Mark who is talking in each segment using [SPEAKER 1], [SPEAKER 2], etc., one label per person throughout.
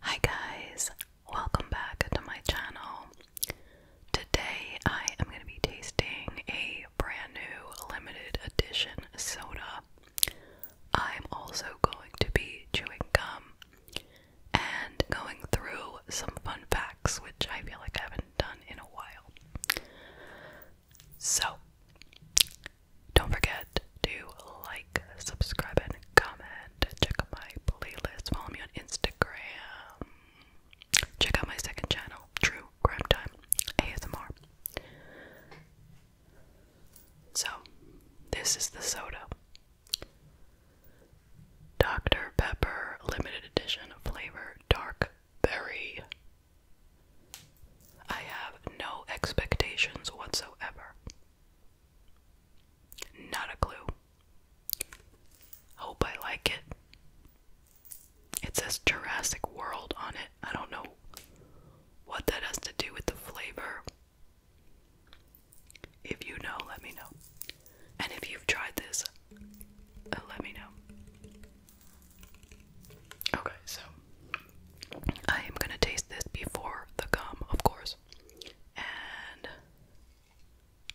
[SPEAKER 1] Hi guys, welcome back to my channel. Today I am going to be tasting a brand new limited edition soda. I'm also going to be chewing gum and going through some fun facts, which I feel like I haven't done in a while. So, don't forget to like subscribe, and comment. Check out my playlist. Follow me on Instagram. Check out my second channel, True Crime Time ASMR. So, this is the soda. Dr. Pepper limited edition flavor dark berry. I have no expectations whatsoever. Not a clue. Hope I like it. It says Jurassic World on it. I don't know what that has to do with the flavor. If you know, let me know. And if you've tried this, uh, let me know. Okay, so I am gonna taste this before the gum, of course. And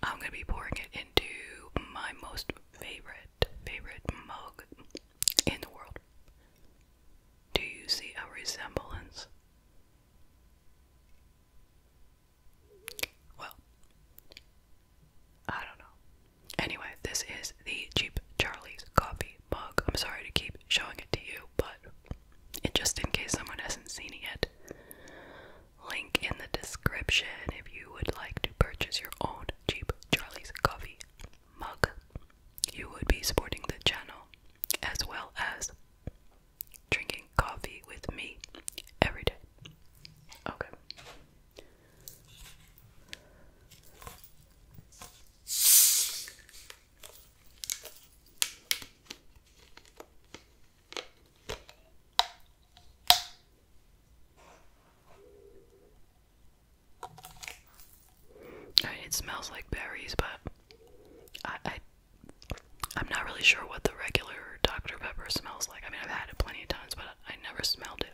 [SPEAKER 1] I'm gonna be pouring it into my most favorite, favorite mug in the world. Do you see a resemblance? Well, I don't know. Anyway, this is the Cheap Charlie's coffee mug. I'm sorry to keep showing it to you, but and just in case someone hasn't seen it yet. Link in the description if you would like to purchase your own cheap Charlie's Coffee mug. You would be supporting the channel as well as drinking coffee with me every day. Okay it smells like berries, but I, I I'm not really sure what the regular Dr. Pepper smells like. I mean, I've had it plenty of times, but I never smelled it.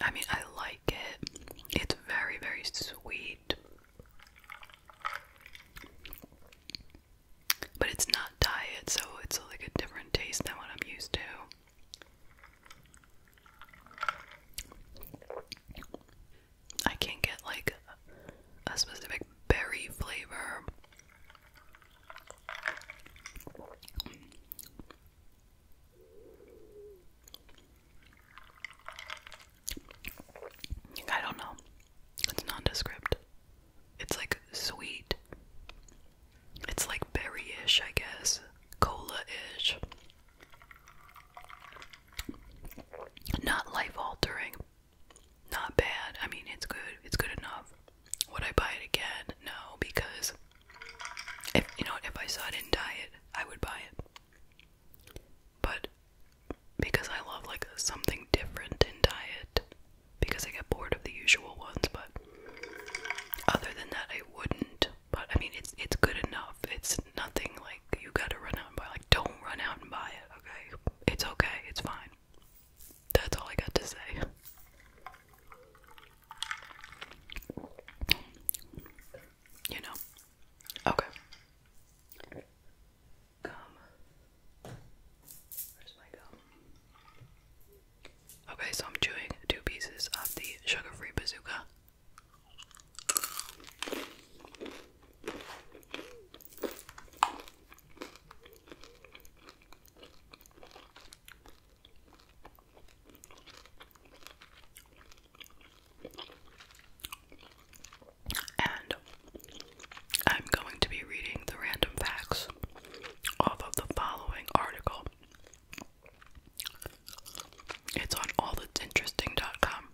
[SPEAKER 1] I mean, I like it. It's very, very sweet. But it's not diet, so it's like a different taste than what I'm used to. I can't get like a specific berry flavor. I don't know. It's nondescript. It's like sweet. It's like berry ish, I guess. Cola ish. Not life altering. Not bad. I mean, it's good. It's good enough. Would I buy it again? No, because if you know, if I saw it in diet, I would buy it. But because I love like something different in diet, because I get bored of the usual ones. But other than that, I wouldn't. But I mean, it's it's good enough. It's nothing like you gotta run out and buy. Like, don't run out and buy it. Okay, it's okay. It's fine. That's all I got to say. You know. Okay. Gum. Where's my gum? Okay, so I'm chewing two pieces of the sugar-free bazooka. And I'm going to be reading the random facts off of the following article it's on allthat'sinteresting.com.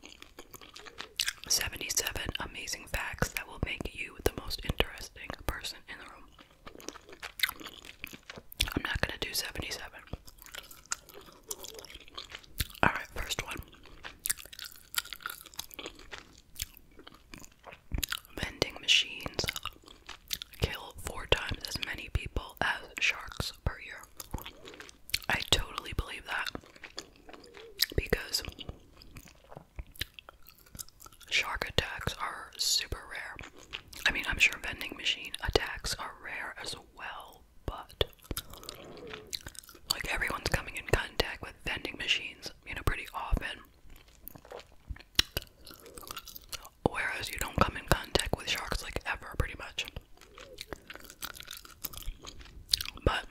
[SPEAKER 1] 77 amazing facts that will make you the most interesting person in the room. I'm not going to do 77. Alright, first one. Vending machines kill four times as many people as sharks per year. I totally believe that because shark attacks are super rare. I mean, I'm sure vending machine attacks are rare as well, but like everyone's coming in contact with vending machines, you know, pretty often whereas you don't come in contact with sharks like ever, pretty much. But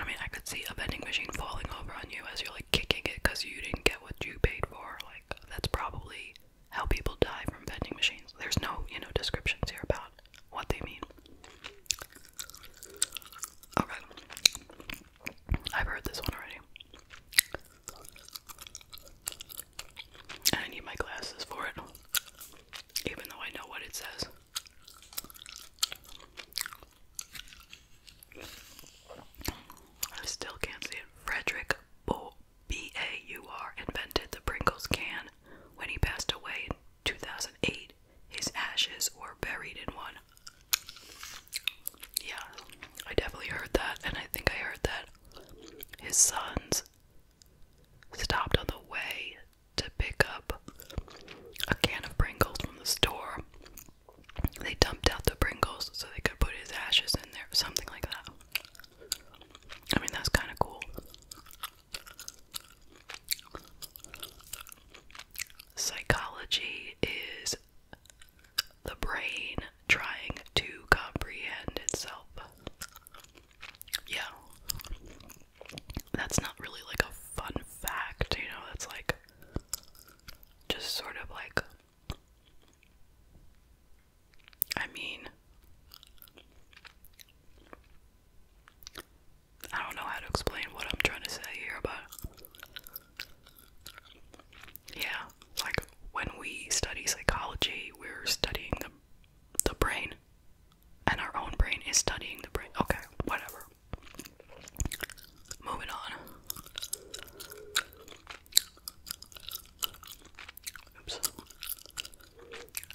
[SPEAKER 1] I mean, I could see a vending machine falling over on you as you're like kicking it because you didn't get what you paid for. Like that's probably how people die from vending machines. There's no, you know, descriptions here about what they mean. Okay, I've heard this one already. And I need my glasses for it, even though I know what it says. I still can't see it. Frederick B A U R invented the Pringles can. When he passed away in 2008, his ashes were buried in one. Yeah, I definitely heard that, and I think I heard that his sons stopped on the way to pick up a can of Pringles from the store. They dumped out the Pringles so they could put his ashes in there, something like that. I mean, that's kind of cool. Psychology is the brain trying to comprehend itself. Yeah. That's not really like a fun fact, you know, that's like just sort of like I mean I don't know how to explain what I'm trying to say here, but yeah, like when we study psychology, we're studying the the brain, and our own brain is studying the brain. Okay, whatever. Moving on.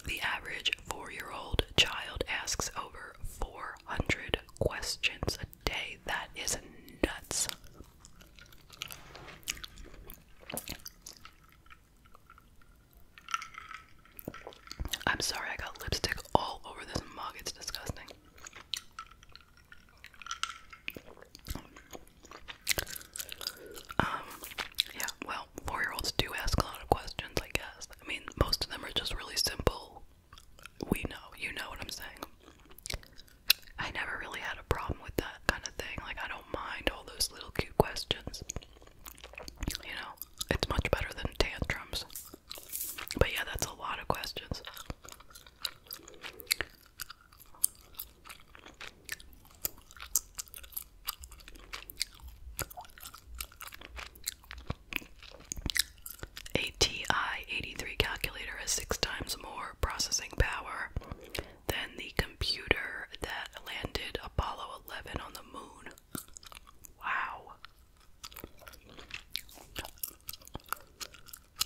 [SPEAKER 1] The average four-year-old child asks over 400 questions a day. That is nuts. I'm sorry, I got lipstick all over this mug. It's disgusting. Um, yeah, well, four year olds do ask a lot of questions, I guess. I mean, most of them are just really simple. We know, you know what I'm saying. I never really had a problem with that kind of thing. Like, I don't mind all those little cute questions. You know, it's much better than tantrums. But yeah, that's a lot of questions. ATI 83 calculator has six times more processing power than the computer that landed Apollo 11 on the moon. Wow.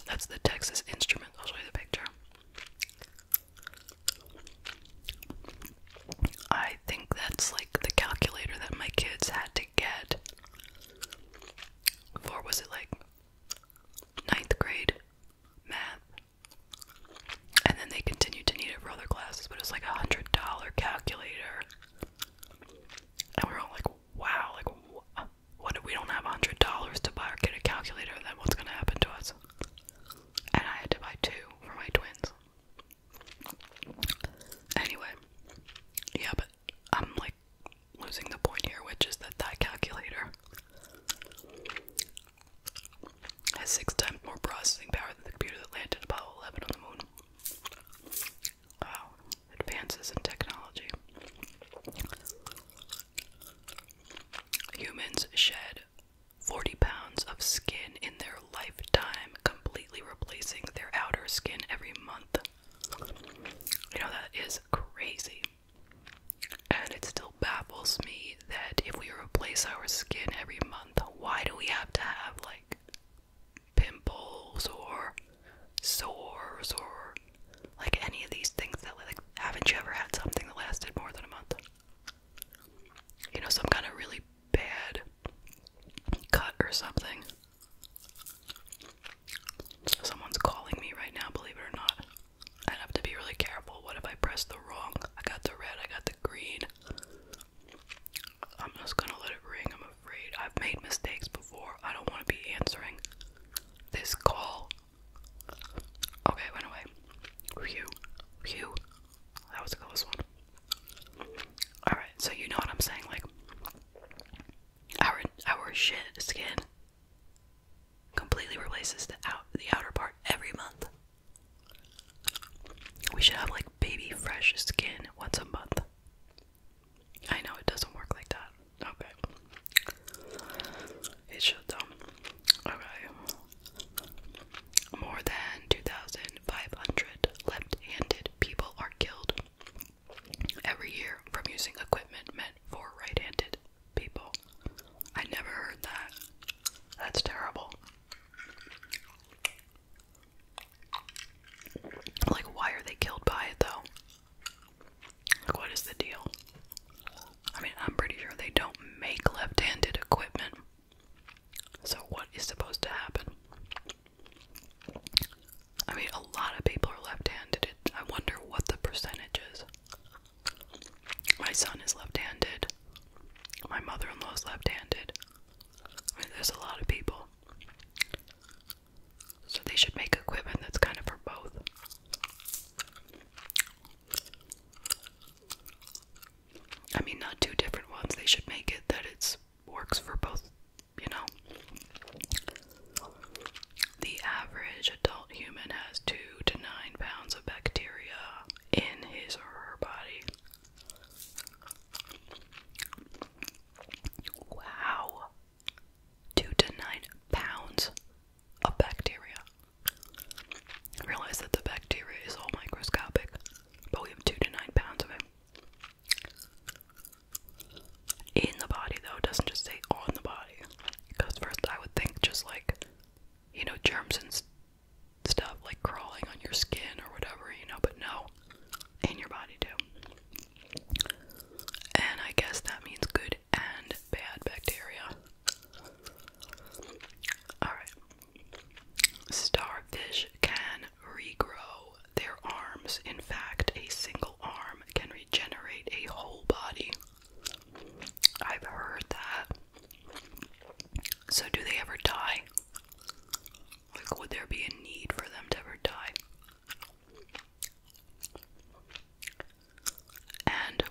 [SPEAKER 1] That's the Texas Instrument. I'll show you the picture. I think that's like the calculator that my kids had to get for was it like ninth grade math? And then they continued to need it for other classes, but it was like a hundred dollar calculator. And we we're all like, wow, like, what if we don't have a hundred dollars to buy or get a calculator? Then what's gonna happen to us? And I had to buy two for my twins. Anyway, yeah, but I'm like losing the point here, which is that that calculator has six times more processing power than the computer that landed Apollo 11 on the moon. Wow, advances in technology. Humans shed 40 pounds of skin in their lifetime, completely replacing their outer skin every month. You know, that is crazy. And it still baffles me that if we replace our skin every month, why do we have to have like pimples or sores or like any of these things that like haven't you ever had something that lasted more than a month? You know, some kind of really bad cut or something. Someone's calling me right now, believe it or not i have to be really careful. What if I press the wrong? I got the red, I got the green. I'm just gonna let it ring, I'm afraid. I've made mistakes before. I don't wanna be answering this call. Okay, went away. Phew. Phew. That was close one. Alright, so you know what I'm saying, like our our shit skin completely replaces the out the outer part every month. We should have like baby fresh skin once a month. I know it doesn't work like that. Okay. It should though. Okay. More than 2,500 left-handed people are killed every year from using equipment meant for right-handed people. I never heard that. That's terrible. Like, why are they killed by it though? what is the deal? I mean, I'm pretty sure they don't make left handed equipment. So, what is supposed to happen? I mean, a lot of people are left handed. I wonder what the percentage is. My son is left handed. My mother in law is left handed. there's a lot of people. So they should make equipment that's kind of for both. I mean, not two different ones. They should make it that it's works for both, you know. The average adult human has two to nine pounds of bacteria in his or her body. Wow. Two to nine pounds of bacteria. realize that the bacteria is all microscopic, but we have two to nine pounds of it. In the body, though, doesn't just say on the body. Because first I would think just like, you know, germs and stuff like crawling on your skin or whatever, you know, but no, in your body too. And I guess that means good and bad bacteria. Alright. Starfish can regrow their arms. In fact, a single arm can regenerate a whole body. I've heard that. So, do they ever die? Like, would there be a need for them to ever die? And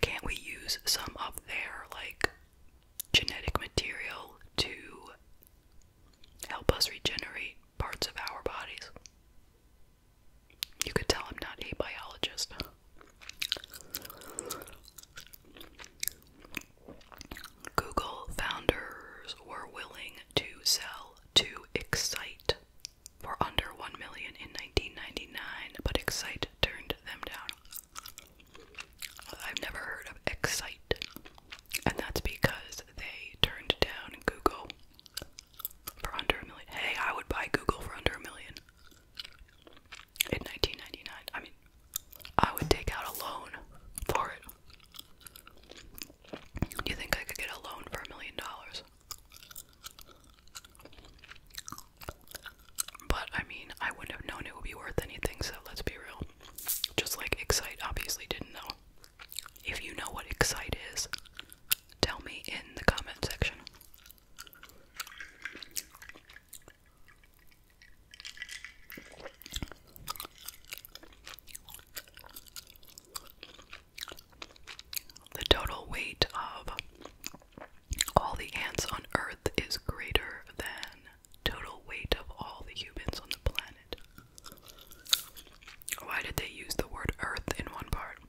[SPEAKER 1] can't we use some of their, like, genetic material to help us regenerate? parts of our bodies. You could tell I'm not a biologist. Google founders were willing to sell to Excite for under 1 million in 1999, but Excite turned them down. I've never heard of Excite, and that's because they turned down Google for under a million. Hey, I would buy Google for under a million in 1999. I mean, I would take out a loan for it. Do you think I could get a loan for a million dollars? But I mean, I wouldn't have known it would be worth anything, so let's be real. Just like Excite obviously didn't know. If you know what Excite is, Tell me in the comment section. The total weight of all the ants on Earth is greater than total weight of all the humans on the planet. Why did they use the word Earth in one part?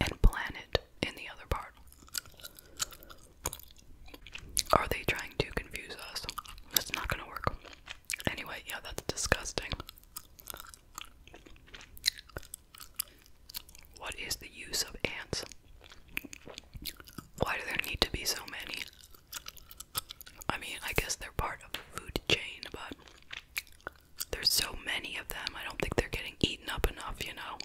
[SPEAKER 1] and planet in the other part. Are they trying to confuse us? That's not gonna work. Anyway, yeah, that's disgusting. What is the use of ants? Why do there need to be so many? I mean, I guess they're part of the food chain, but there's so many of them. I don't think they're getting eaten up enough, you know.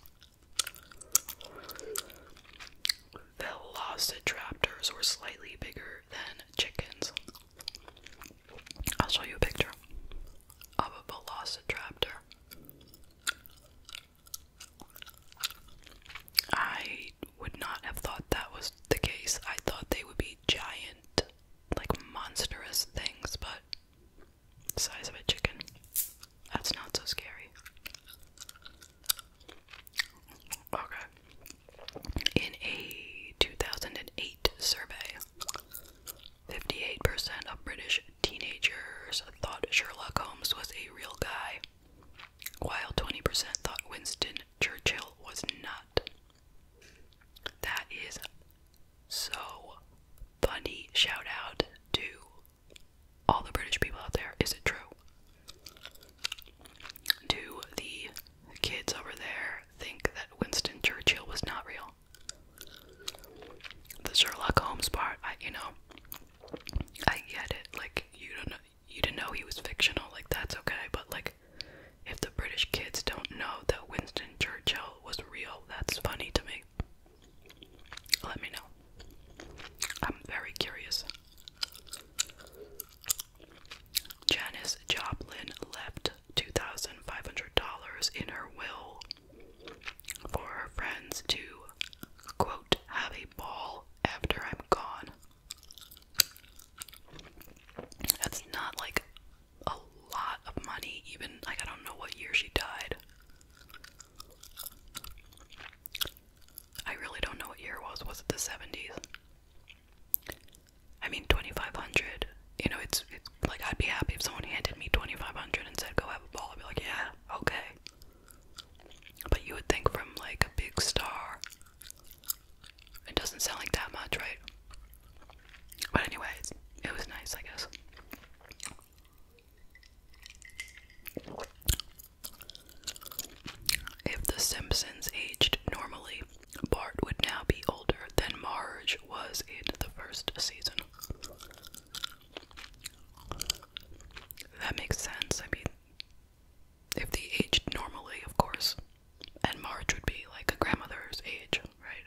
[SPEAKER 1] Velociraptors were slightly bigger than chickens. I'll show you a picture of a velociraptor. I would not have thought that was the case. I thought they would be giant like monstrous things, but size of a chicken. That's not so scary. Okay. In a 2008 survey, 58% of British teenagers thought Sherlock Holmes was a real guy, while 20% thought Winston Churchill was not. That is so funny. Shout out to all the British people out there. Is it true? Do the kids over there think that Winston Churchill was not real? The Sherlock Holmes part, I, you know, I get it. Like you don't know, you didn't know he was fictional. Like that's okay, but like if the British kids don't know that Winston Churchill was real, that's funny to me. Let me know. I'm very curious. Janice Joplin left $2,500 in her will for her friends to, quote, have a ball after I'm gone. That's not like a lot of money, even like I don't know what year she died. I really don't know what year it was. Was it the 70s? I mean 2500. You know, it's, it's like I'd be happy if someone handed me 2500 and said go have a ball. I'd be like, "Yeah, okay." But you would think from like a big star it doesn't sound like that much, right? But anyways, it was nice, I guess. If The Simpsons aged normally, Bart would now be older than Marge was in the first season. That makes sense. I mean, if they aged normally, of course, and Marge would be like a grandmother's age, right?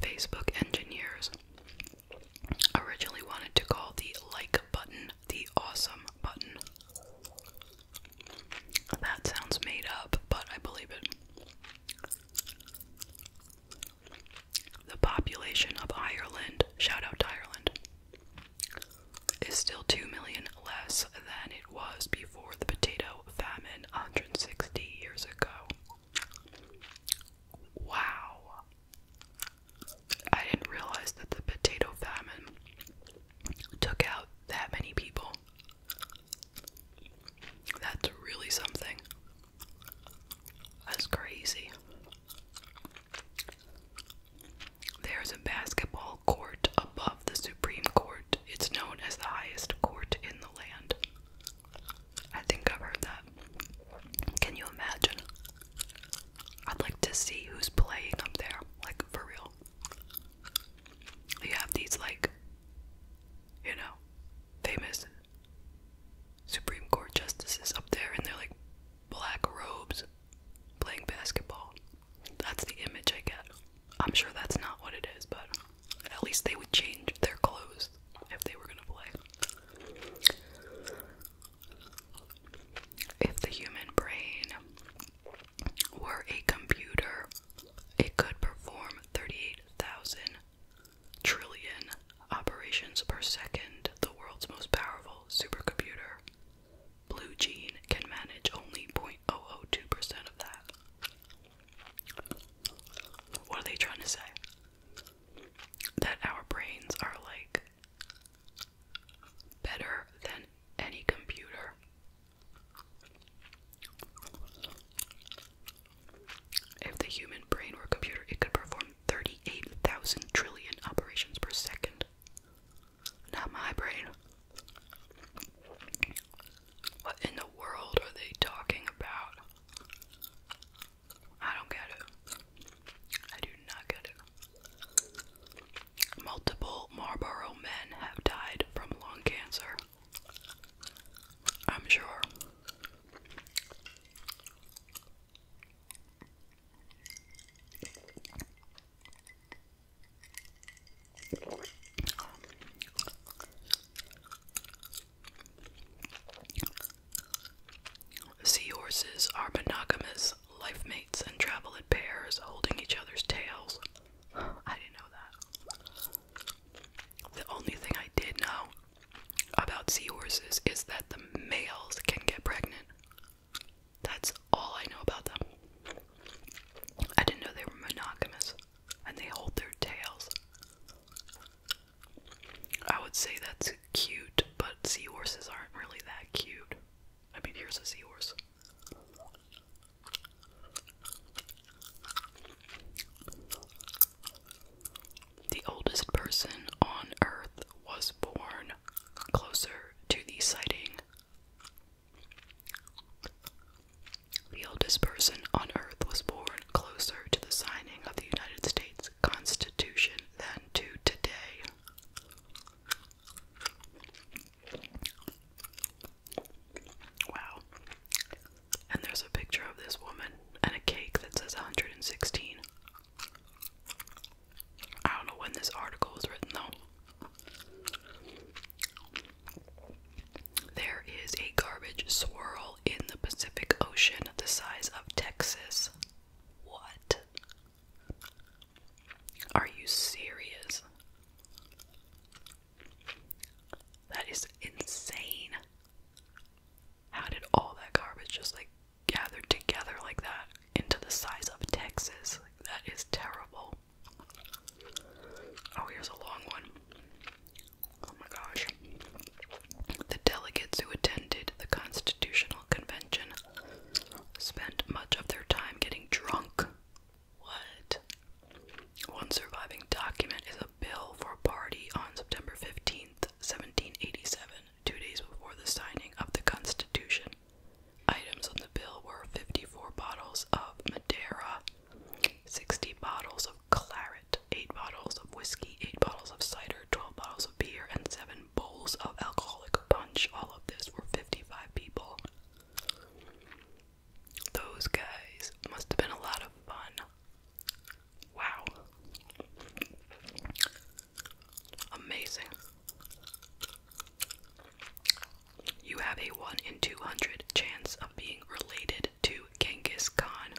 [SPEAKER 1] Facebook engineers originally wanted to call the like button the awesome button. That sounds made up, but I believe it. The population of Ireland, shout out to Ireland, is still 2 million less than it was before the potato famine 160 years ago. Wow. I didn't realize that the potato famine took out that many people. That's really something. That's crazy. There is a basketball court above the Supreme Court. It's known as the highest court in the land. I think I've heard that. Can you imagine? I'd like to see who's playing up there, like for real. You have these, like, you know, famous Supreme Court justices up there, and they're like black robes playing basketball. That's the image I get. I'm sure that's not what it is, but at least they would change their clothes if they were going to play. If the human brain were a computer, it could perform 38,000 trillion operations per second, the world's most powerful supercomputer Blue Jean can manage only 0.002% of that. What are they trying to say? That our brains are like better than any computer. If the human brain were computer, it could perform 38,000 trillion operations per second. Not my brain. What in the world are they talking about? I don't get it. I do not get it. Multiple Marlboro men have died from lung cancer. I'm sure. Seahorses are monogamous life mates and travel in pairs, holding each other's tails. I didn't know that. The only thing I did know about seahorses is that the males can get pregnant. That's all I know about them. I didn't know they were monogamous and they hold their tails. I would say that's cute, but seahorses aren't really that cute. I mean, here's a seahorse. The oldest person on Earth was born closer to the sighting. The oldest person on Earth was born closer to the signing of the United States Constitution than to today. Wow. And there's a picture of this woman and a cake that says 116. I don't know when this article was written though. There is a garbage swirl in the Pacific Ocean the size of Texas. What? Are you serious? That is insane. How did all that garbage just like gathered together like that into the size of Texas? that is terrible. Oh, here's a long one. Oh my gosh. The delegates who attended the Constitutional Convention spent much of their time getting drunk. What? One surviving document is a bill for a party on September 15th, 1787, two days before the signing of the Constitution. Items on the bill were 54 bottles of Madeira, 60 bottles of claret, 8 bottles of whiskey, 8 bottles of cider, 12 bottles of beer, and 7 bowls of alcoholic punch. All of this for 55 people. Those guys must have been a lot of fun. Wow. Amazing. You have a 1 in 200 chance of being related to Genghis Khan.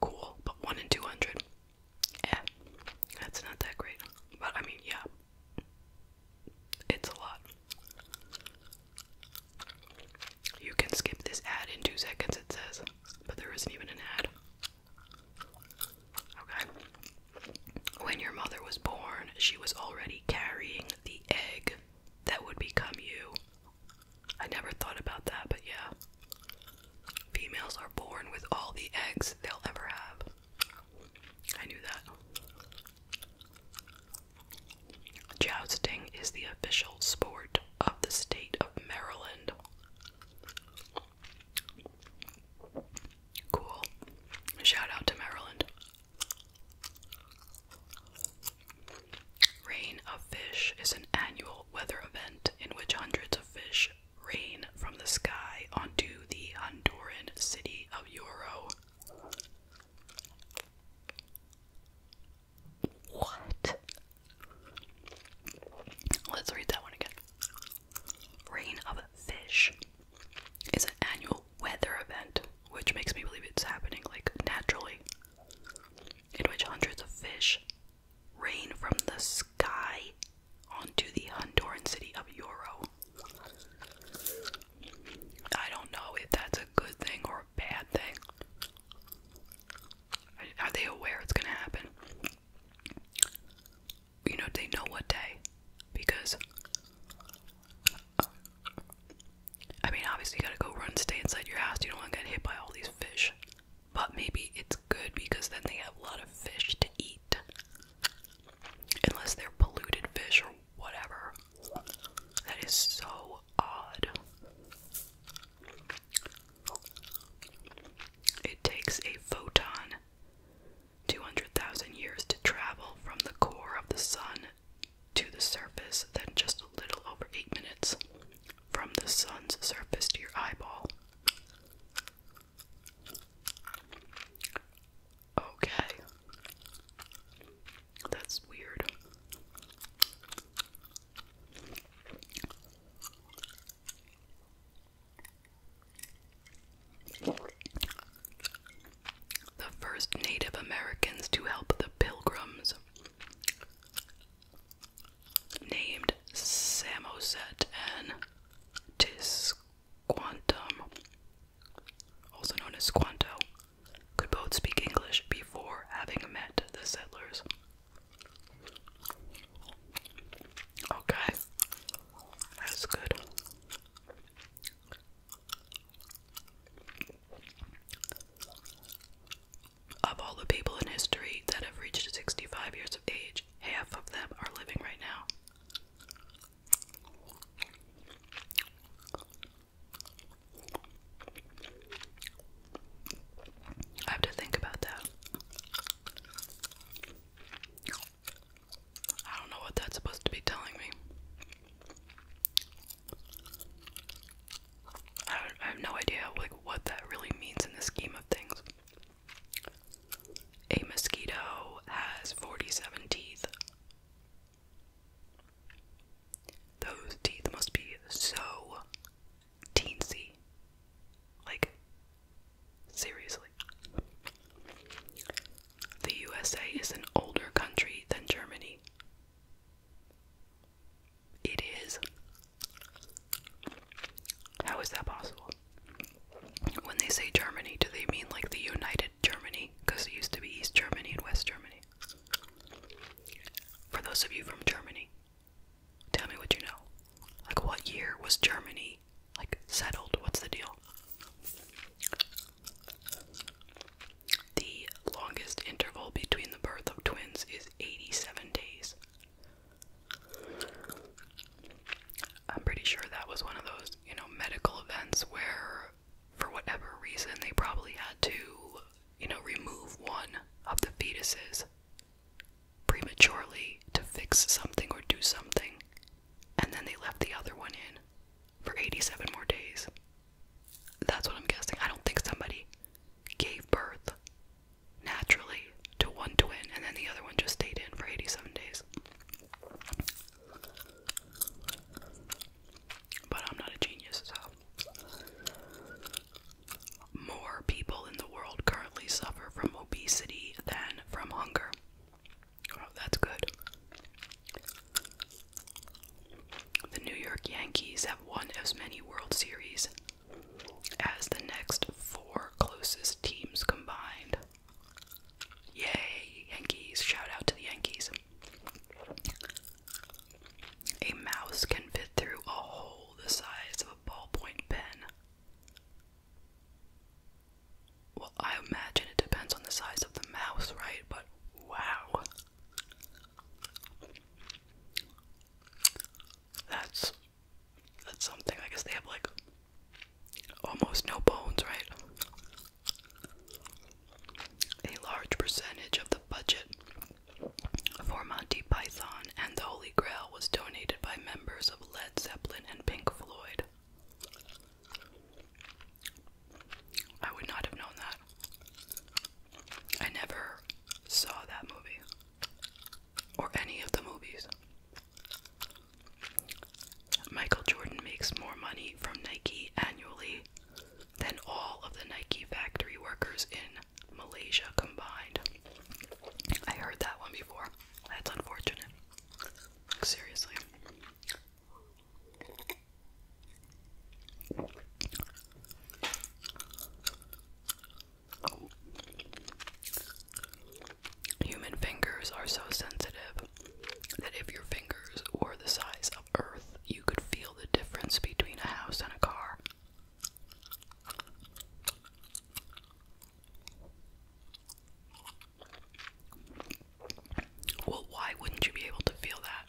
[SPEAKER 1] Cool, but 1 in 200. Yeah, that's not that great. But I mean, yeah, it's a lot. You can skip this ad in two seconds, it says but there isn't even an ad. Okay. When your mother was born, she was already carrying the egg that would become you. I never thought about that, but yeah. Females are born with all the eggs they'll ever have. I knew that. Jousting is the official sport of the state of Maryland. Cool. Shout out to Maryland. Rain of Fish is an annual weather event in which hundreds of fish rain from the sky onto the Honduran city of Euro. What? Let's read that one again. Rain of Fish is an annual weather event, which makes me believe it's happening like naturally, in which hundreds of fish rain from the sky onto the Honduran city of Yoro. I don't know if that's a good thing or bad thing. Are they aware it's gonna happen? You know, they know what day. Because. I mean, obviously, you gotta go run, and stay inside your house. You don't wanna get hit by all these fish. But maybe it's good because then they have a lot of fish to eat. Unless they're polluted fish or whatever. That is so odd. It takes a photon 200,000 years to travel from the core of the sun to the surface, then just a little over 8 minutes from the sun's surface to your eyeball. Okay. That's weird. The first Native Americans to help the Pilgrims, named Samoset and Tisquantum, also known as Squanto, could both speak English before having met the settlers. Okay, that's good. Of all the people in history that have reached 65 years of age, half of them are living right now. I have to think about that. I don't know what that's supposed to be telling me. I, have no idea like what that really means in the scheme of things. A mosquito has 47 teeth. Those teeth must be so teensy. Like, seriously. The USA is an older country than Germany. It is. How is that possible? When they say Germany, do they mean like the United Germany? Because it used to be East Germany and West Germany. For those of you from Germany, Tell me what you know. Like, what year was Germany, like, settled? What's the deal? The longest interval between the birth of twins is 87 days. I'm pretty sure that was one of those, you know, medical events where, for whatever reason, they probably had to you know, remove one of the fetuses prematurely to fix something or do something, and then they left the other one in for 87 more days. That's what I'm guessing. I don't think somebody gave birth naturally to one twin and then the other one just stayed in for 87 days. But I'm not a genius, so more people in the world currently suffer from obesity than from hunger. that's good. The New York Yankees have won as many World Series as the next four closest teams combined. Yay, Yankees! Shout out to the Yankees. A mouse can fit through a hole the size of a ballpoint pen. Well, I imagine it depends on the size of the mouse, right? But wow. That's that's something. I guess they have like almost no bones, right? A large percentage of the budget for Monty Python and the Holy Grail was donated by members of Led Zeppelin and Pink Floyd. I would not have known that. I never saw that movie or any of the movies. Michael Jordan makes more money from Nike annually than all of the Nike factory workers in Malaysia combined. I heard that one before. That's unfortunate. seriously. Human fingers are so sensitive that if your fingers were the size of Earth, you could feel the difference between a house and a car. Well, why wouldn't you be able to feel that?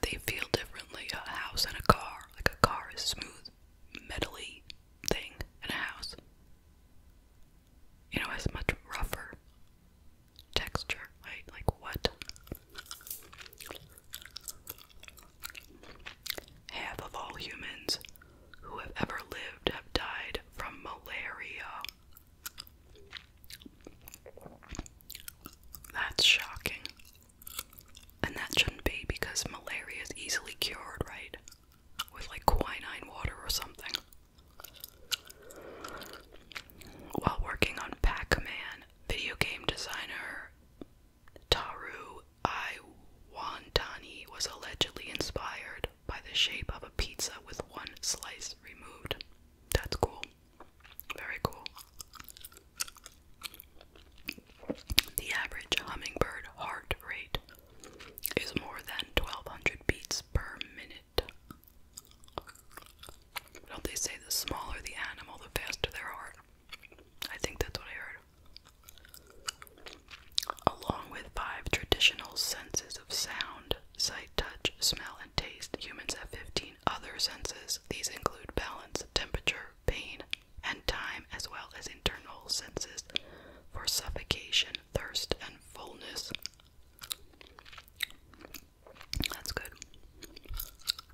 [SPEAKER 1] They feel differently a house and a car. Like a car is smooth, metally thing, and a house, you know, is much rougher texture, right? Like what? Half of all humans who have ever lived have died from malaria. That's shocking. And that shouldn't be because malaria is easily cured, right? With like quinine water or something. While working on Pac Man, video game designer Taru Iwantani was allegedly inspired by the shape of a pizza with one slice removed. That's cool. Very cool. The average hummingbird heart rate is more than 1200 beats per minute. Don't they say the smaller the animal, the faster their heart? I think that's what I heard. Along with five traditional senses of sound, sight, touch, smell, and taste, humans have 15 other senses. These include balance, temperature, pain, and time, as well as internal senses for suffocation, thirst, and fullness. That's good.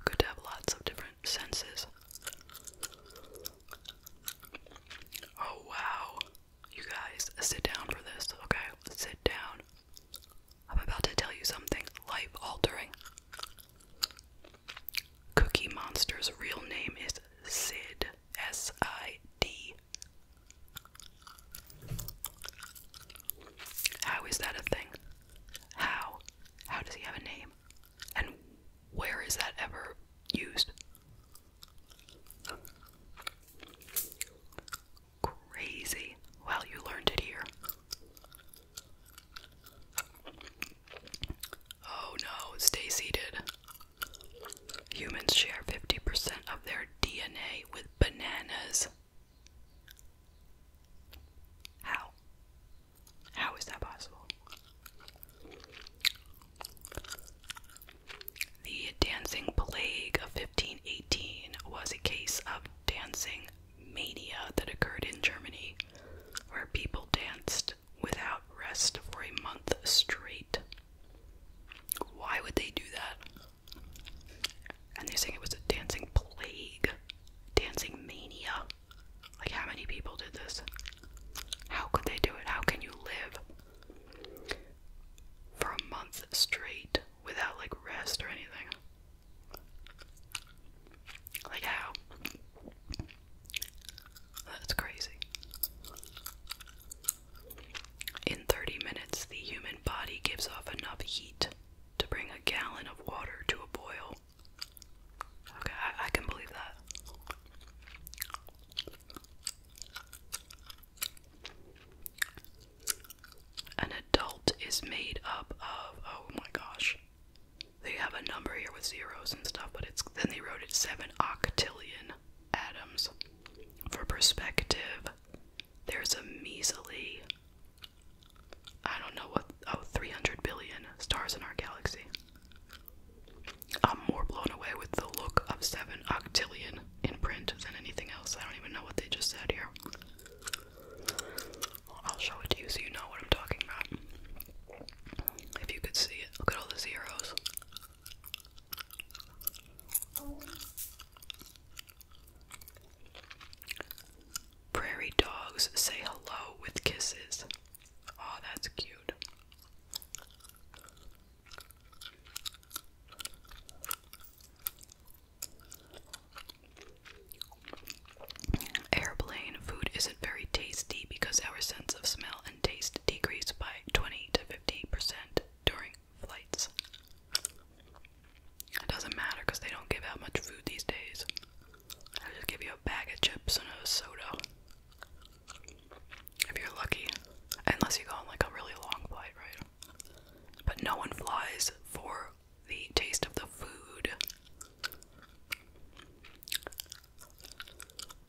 [SPEAKER 1] Good to have lots of different senses. Oh wow. You guys, sit down for this, okay? Sit down. I'm about to tell you something life altering. Cookie Monster's real name is Sid. S I D. How is that a thing? How? How does he have a name? And where is that ever used? Crazy. Well, you learned it here. Oh no, stay seated. Humans share 50% of their DNA with bananas. How? How is that possible? The dancing plague of 1518 was a case of dancing mania that occurred in Germany, where people danced without rest for a month straight. Why would they do that? And they're saying it was a dancing plague, dancing mania. Like, how many people did this? How could they do it? How can you live for a month straight without like rest or anything? Like, how? That's crazy. In 30 minutes, the human body gives off enough heat to bring a gallon of water to a boil. Okay, I, can believe that. An adult is made up of, oh my gosh, they have a number here with zeros and stuff, but it's then they wrote it seven octillion atoms. For perspective, there's a measly I don't know what. Oh, 300 billion stars in our galaxy. I'm more blown away with the look of 7 octillion in print than anything else. I don't even know what they just said here. I'll show it to you so you know what I'm talking about. If you could see it, look at all the zeros. Prairie dogs say hello with kisses. Oh, that's cute. Airplane food isn't very tasty because our sense of smell and taste decrease by 20 to 50% during flights. It doesn't matter because they don't give out much food these days. I'll just give you a bag of chips and a soda. If you're lucky. Unless you go on like a really long flight, right? But no one flies for the taste of the food.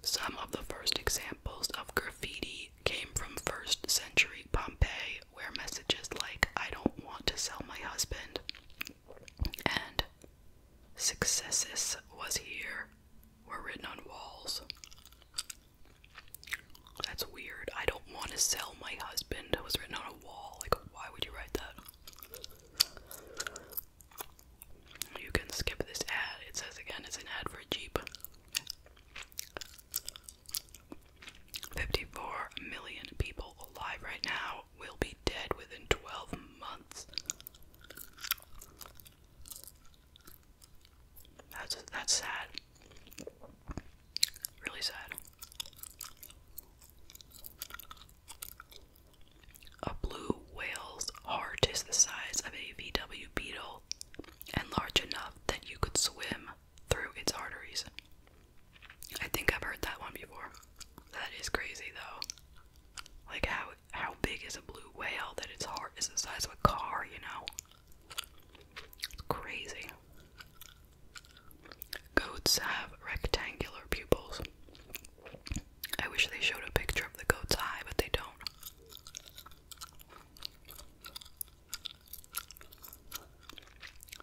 [SPEAKER 1] Some of the first examples of graffiti came from first century Pompeii where messages like, I don't want to sell my husband, and successes was here were written on walls. That's weird. I don't want to sell my husband was written on a wall. Like, why would you write that? You can skip this ad. It says again it's an ad for a Jeep. 54 million people alive right now will be dead within 12 months. That's that's sad. Really sad. A blue whale's heart is the size of a VW beetle and large enough that you could swim through its arteries. I think I've heard that one before. That is crazy though. Like how how big is a blue whale that its heart is the size of a car, you know? It's crazy. Goats have rectangular pupils. I wish they showed a picture of the goat's eye, but they don't.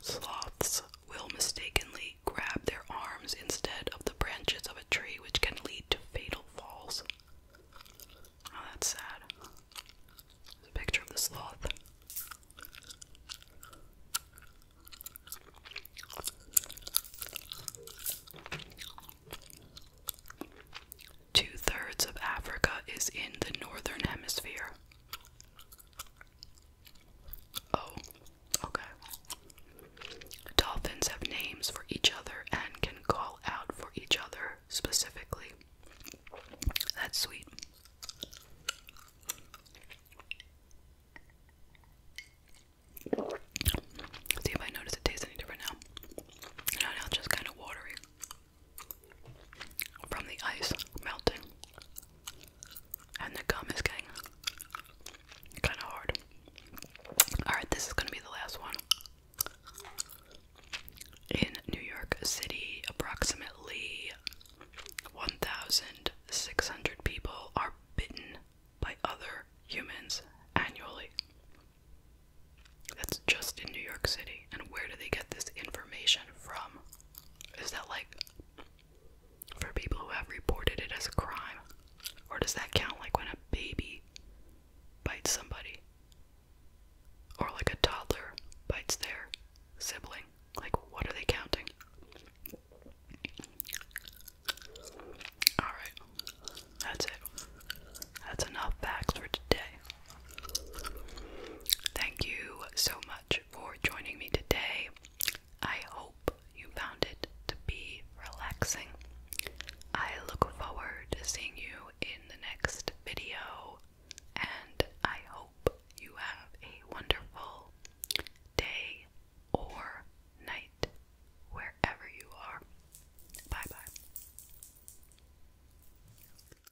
[SPEAKER 1] Sloths will mistakenly grab their arms instead of the branches of a tree, which can lead to fatal falls. Oh, that's sad. picture of the sloth. Two thirds of Africa is in the northern hemisphere. Oh, okay. Dolphins have names for each other and can call out for each other specifically. That's sweet. See if I notice it tastes any different now. No, now it's just kind of watery from the ice melting, and the gum is getting kind of hard. Alright, this is going to be the last one. In New York City, approximately 1,600 people are bitten by other humans annually. That's just in New York City. And where do they get this information from? Is that like for people who have reported it as a crime? Or does that count like when a baby bites somebody? Or like a toddler bites their sibling? Like, what are they counting? Alright, that's it. That's enough facts for today. Thank you so much for joining me today. I hope you found it to be relaxing. I look forward to seeing you in the next video, and I hope you have a wonderful day or night wherever you are. Bye bye.